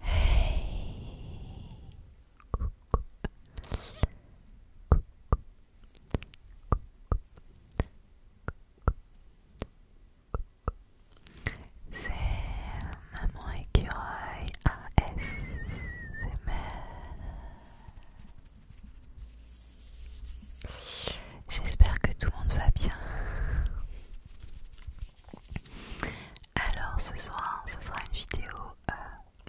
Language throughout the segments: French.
Hey C'est Maman Écureuil ASMR J'espère que tout le monde va bien alors ce soir, ça sera une vidéo euh,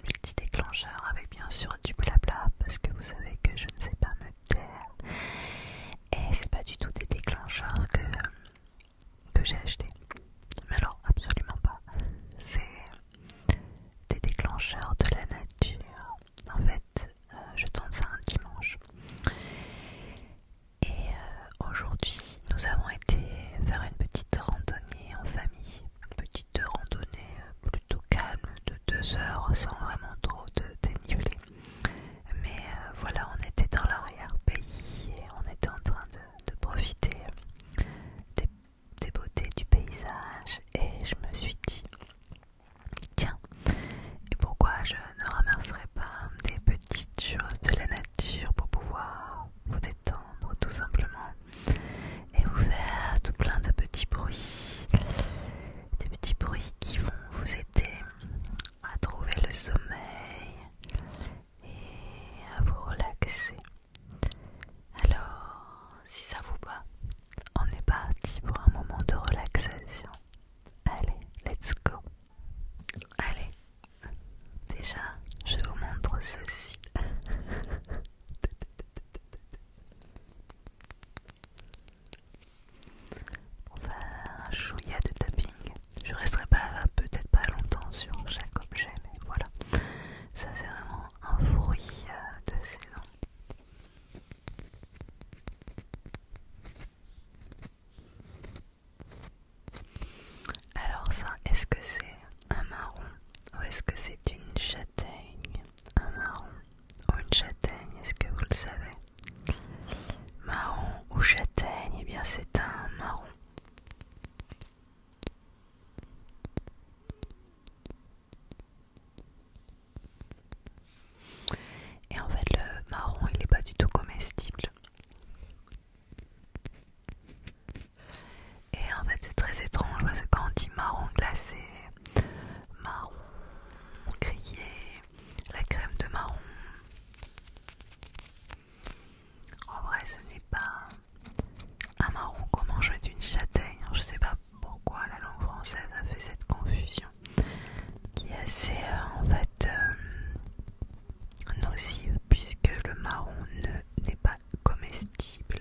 multi-déclencheur avec bien sûr du blabla parce que vous savez que je ne sais pas me taire. Et c'est pas du tout des déclencheurs que, euh, j'ai acheté. Mais alors, absolument pas. C'est des déclencheurs de la nature. En fait, euh, je tourne ça un dimanche. Et euh, aujourd'hui, nous avons été faire une petite randonnée en famille. Une petite randonnée euh, plutôt calme de deux heures sans vraiment trop de dénivelé. Mais euh, voilà, on était dans l'arrière-pays et on était en train de, profiter des, beautés du paysage. Et je me suis dit, tiens, et pourquoi je ne ramasserai pas des petites choses de la nature pour pouvoir vous détendre tout simplement et vous faire tout plein de petits bruits, des petits bruits qui vont vous aider à trouver le sommeil et à vous relaxer. Alors, si ça vous va, on est parti pour un moment de relaxation. Allez, let's go. Allez, Déjà, je vous montre ceci. On va un chouïa de tapping. Je resterai pas peut-être pas longtemps sur chaque objet, mais voilà. Ça c'est vraiment un fruit euh, de saison. Alors ça, est-ce que c'est un marron ou est-ce que c'est une châtaigne Un marron ou une châtaigne, est-ce que vous le savez Marron ou châtaigne, eh bien c'est un marron. Et en fait le marron il n'est pas du tout comestible. Et en fait, c'est très étrange parce que quand on dit marron glacé, marron grillé, la crème de marron, en vrai, ce n'est pas un marron qu'on mange d'une châtaigne. Je sais pas pourquoi la langue française a fait cette confusion qui est assez euh, en fait euh, nocive puisque le marron n'est pas comestible.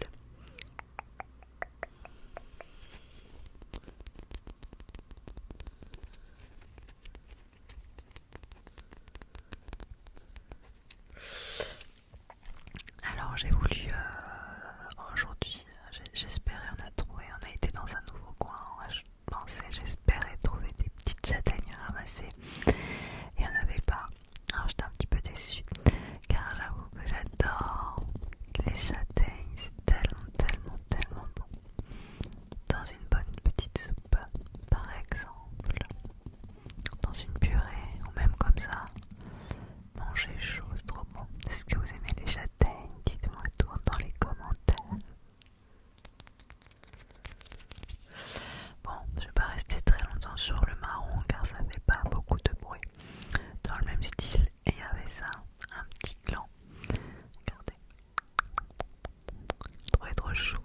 Alors j'ai voulu euh, aujourd'hui, j'espérais on a trouvé, on a été dans un nouveau coin en hein, j'espérais trouver des petites châtaignes à ramasser. Il n'y en avait pas. Alors j'étais un petit peu déçue. Car j'avoue que j'adore les châtaignes. C'est tellement, tellement, tellement bon. Dans une bonne petite soupe, par exemple. Dans une purée, ou même comme ça. Manger chaud, trop bon. Est-ce que vous aimez les châtaignes Dites-moi tout dans les commentaires. Bon, je vais pas rester très longtemps sur le marron car ça fait pas beaucoup de bruit. Dans le même style, et il y avait ça, un petit gland. Regardez. trop trop chou.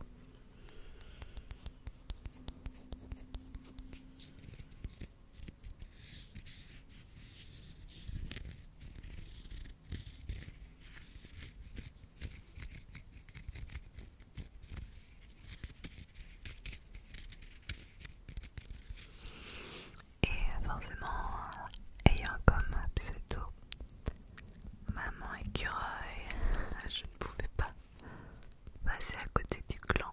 Et forcément, ayant comme pseudo Maman Écureuil, je ne pouvais pas passer à côté du clan.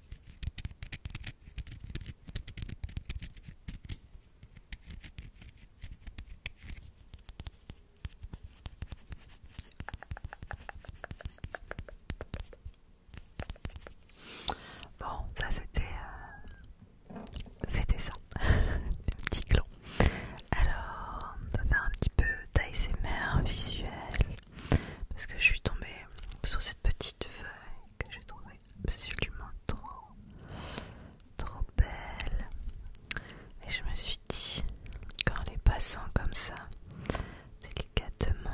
Bon, ça c'était euh, c'était ça, Un petit clon. Alors, on va faire un petit peu d'ASMR visuel parce que je suis tombée sur cette petite feuille que j'ai trouvée absolument trop, trop belle. Et je me suis dit, qu'en les passant comme ça, délicatement,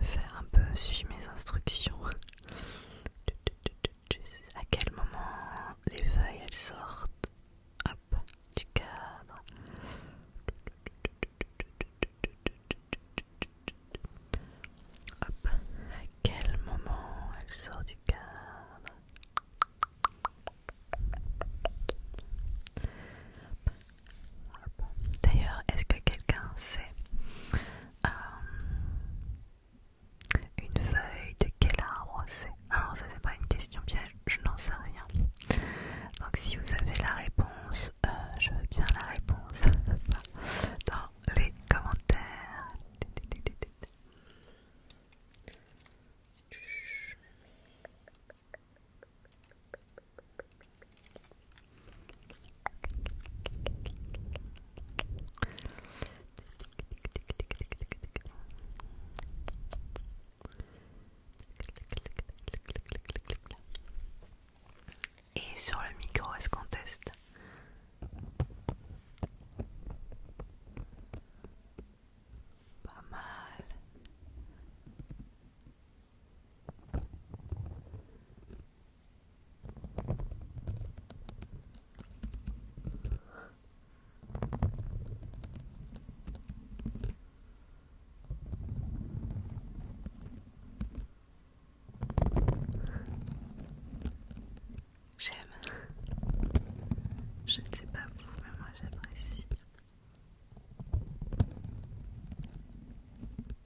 faire un peu suivre mes instructions à quel moment les feuilles elles sortent du cadre. à quel moment elles sortent du cadre D'ailleurs, est-ce que quelqu'un sait euh, une feuille de quel arbre c'est Alors ça c'est pas une question bien, je n'en sais rien. Donc si vous avez la réponse, euh, je veux bien la réponse dans les commentaires. Et sur le micro, est-ce qu'on teste Pas mal. J'aime. Je ne sais pas vous, mais moi j'apprécie.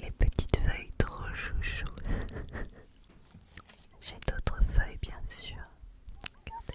Les petites feuilles trop chouchou. J'ai d'autres feuilles bien sûr. Regardez.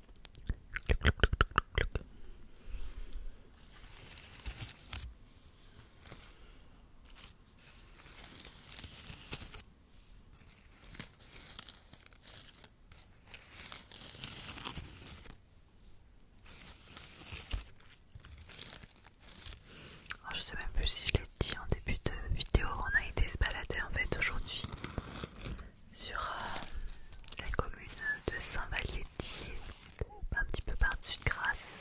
Oh, je sais même plus si je l'ai dit en début de vidéo, on a été se balader en fait aujourd'hui sur euh, la commune de saint valetier un petit peu par-dessus de Grasse.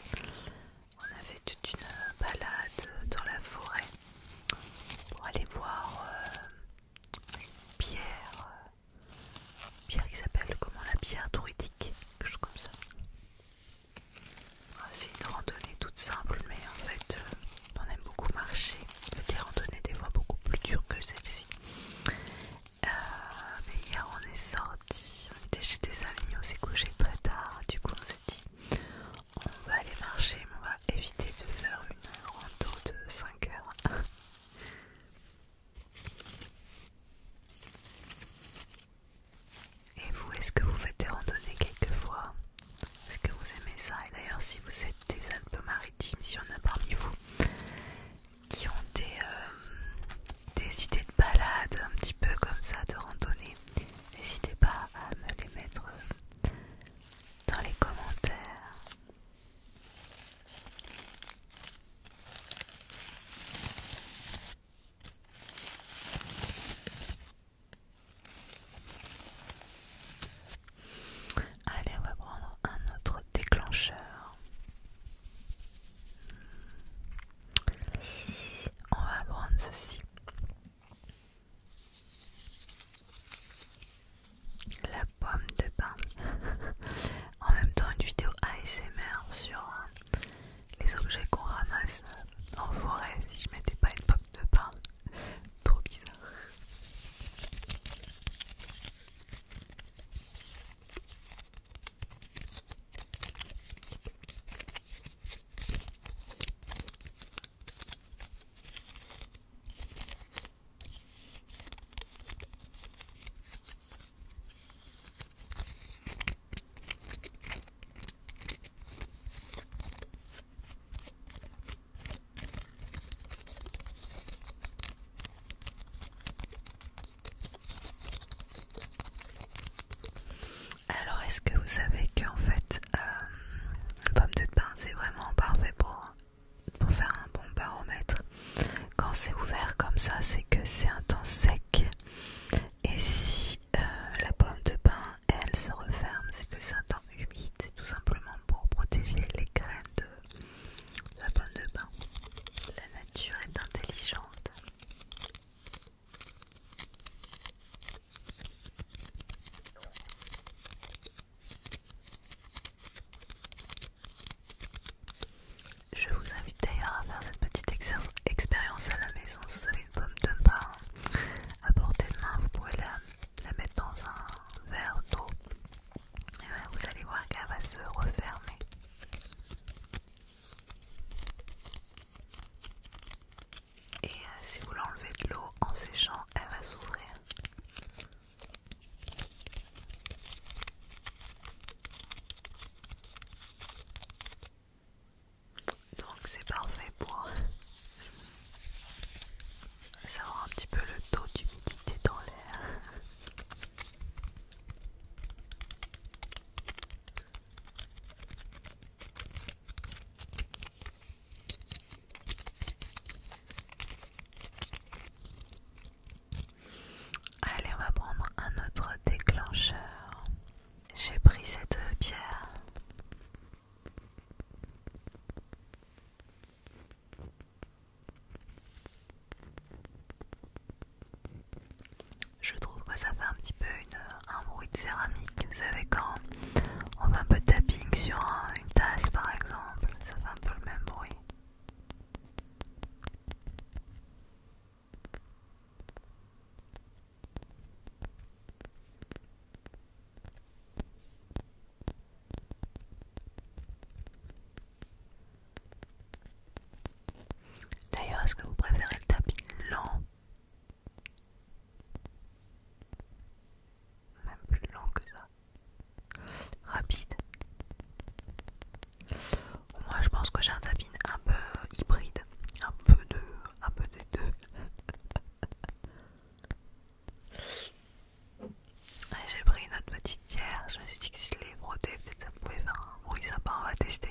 On a fait toute une euh, balade dans la forêt pour aller voir euh, une pierre, pierre qui s'appelle comment la pierre druidique, quelque chose comme ça. Ah, c'est une randonnée toute simple, mais en fait, on aime beaucoup marcher, des randonnées des fois beaucoup plus dures que celle-ci. Euh, mais hier on est sorti, on était chez des amis, on s'est couché très tard, du coup on s'est dit on va aller marcher, mais on va éviter de faire une rando de 5 heures. Et vous, est-ce que vous faites des randonnées quelquefois est-ce que vous aimez ça Et d'ailleurs, si vous êtes des Alpes-Maritimes, s'il y en a parmi vous qui ont euh, des, idées de balade un petit peu comme ça, de randonnée, n'hésitez pas à me les mettre euh, dans les commentaires. Allez, on va prendre un autre déclencheur. On va prendre ceci. La pomme de pain. en même temps, une vidéo ASMR sur euh, les objets qu'on ramasse euh, en forêt si je mettais pas une pomme de pain. Trop bizarre. Alors, est-ce que vous savez qu'en fait, La euh, pomme de pin c'est vraiment parfait pour, pour faire un bon baromètre Quand c'est ouvert comme ça, c'est que c'est un temps sec. Et si euh, la pomme de pin elle se referme, c'est que c'est un temps humide, c'est tout simplement pour protéger les graines de la pomme de bain. La nature est intelligente. Je vous invite d'ailleurs à faire cette petite expérience à la maison si vous avez une pomme de bain à portée de main, vous pouvez la, mettre dans un verre d'eau et vous allez voir qu'elle va se refermer. Et euh, si vous l'enlevez de l'eau en séchant, elle va s'ouvrir. Donc c'est parfait pour savoir un petit peu le taux d'humidité dans l'air. Allez, on va prendre un autre déclencheur. J'ai pris cette pierre je trouve que ça fait un petit peu un bruit de céramique, vous savez quand on fait un peu de tapping sur une tasse par exemple, ça fait un peu le même bruit. D'ailleurs, est-ce que vous préférez le tapis lent Même plus lent que ça. Rapide. Moi, je pense que j'ai un tapis un peu hybride, un peu de un peu de deux. J'ai pris notre petite pierre, je me suis dit que si je l'ai brodée peut-être ça pouvait faire un bruit sympa, on va tester.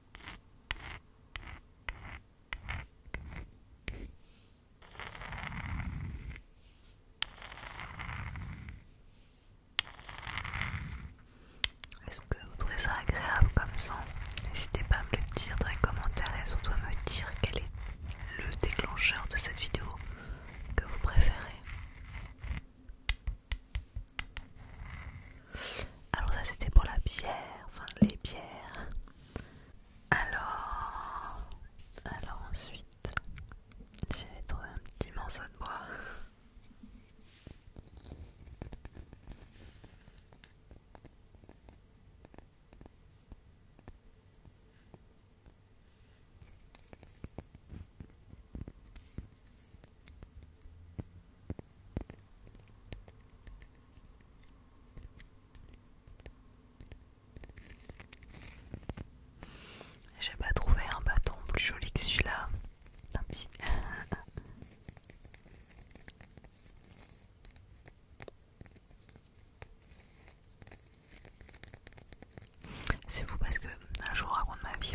Est-ce que vous trouvez ça agréable comme son N'hésitez pas à me le dire dans les commentaires et surtout à me dire quel est le déclencheur de cette vidéo que vous préférez. Alors ça c'était pour la bière, enfin les bières. Alors, alors ensuite, j'ai trouvé un petit morceau de bois. J'ai pas trouvé un bâton plus joli que celui-là. C'est vous parce que je vous de ma vie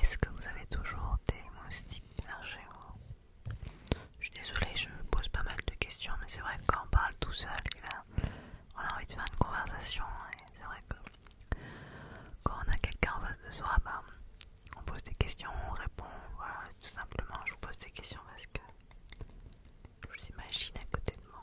Est-ce que vous avez toujours des moustiques chez vous Je suis désolée, je pose pas mal de questions, mais c'est vrai que quand on parle tout seul, on a envie de faire une conversation. Et c'est vrai que quand on a quelqu'un en face de soi, ben, on pose des questions, on répond. Voilà, tout simplement, je vous pose des questions parce que je vous imagine à côté de moi.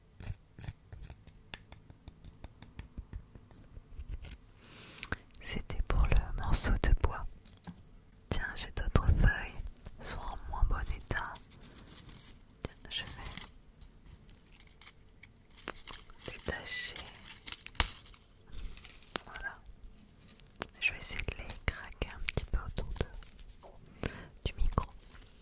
C'était pour le morceau de bois. Tiens, j'ai d'autres feuilles, sont en moins bon état. je vais détacher. Voilà. Je vais essayer de les craquer un petit peu autour du micro.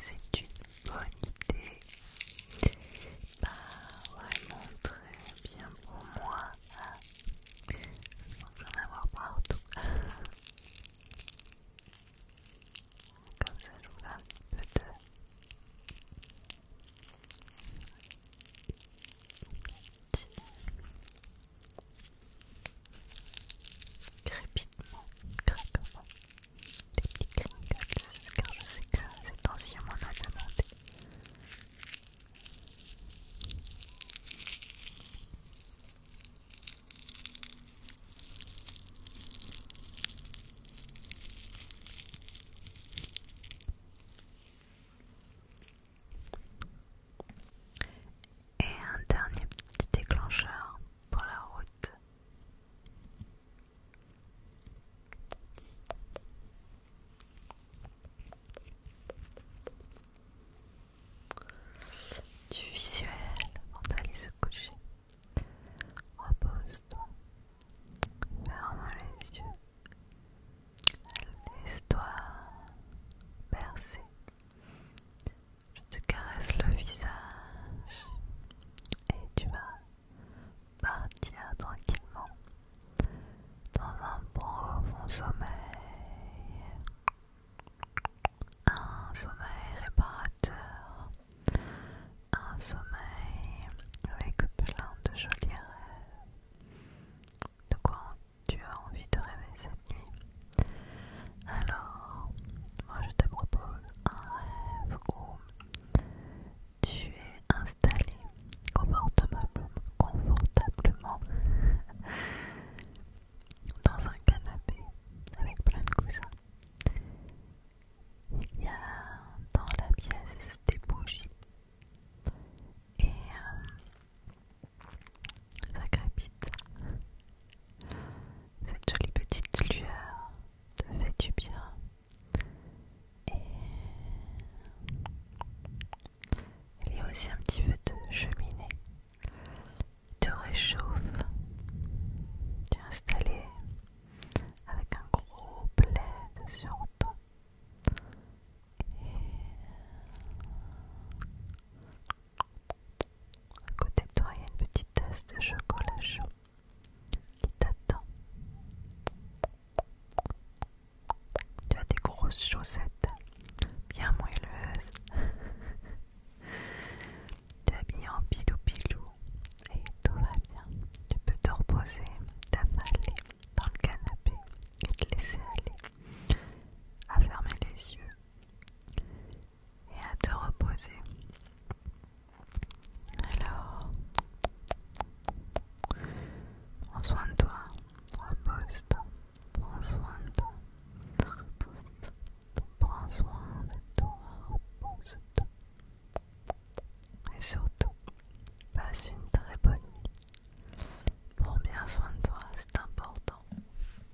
c'est une bonne idée. Pas vraiment très bien pour moi. Je vais en avoir partout. Comme ça, je vous un petit peu de crépitement, craquement, des petits car je sais que c'est ancien m'en a demandé. Et un dernier petit déclencheur pour la route. Du visuel mentalise d'aller se coucher. Repose-toi. Ferme les yeux. Laisse-toi bercer je te caresse le visage et tu vas partir tranquillement dans un profond sommeil, un sommeil réparateur, un sommeil avec plein de jolis rêves. De quoi tu as envie de rêver cette nuit alors, moi je te propose un rêve où tu es installé confortablement, confortablement dans un canapé avec plein de coussins. Il y a dans la pièce des bougies et euh, ça crépite. Cette jolie petite lueur te fait du bien. Et il y a aussi un petit peu de cheminée. qui te réchauffe. Tu es installé avec un gros plaid sur toi. Et à côté de toi, il y a une petite tasse de chocolat chaud qui t'attend. Tu as des grosses chaussettes bien moelleuses. tu es habillé en pilou-pilou et tout va bien. Tu peux te reposer, t'avaler dans le canapé et te laisser aller à fermer les yeux et à te reposer. Alors, prends soin de toi, repose-toi, prends soin de toi, prends soin de toi, repose-toi. Et surtout, passe une très bonne nuit. Prends bien soin de toi, c'est important.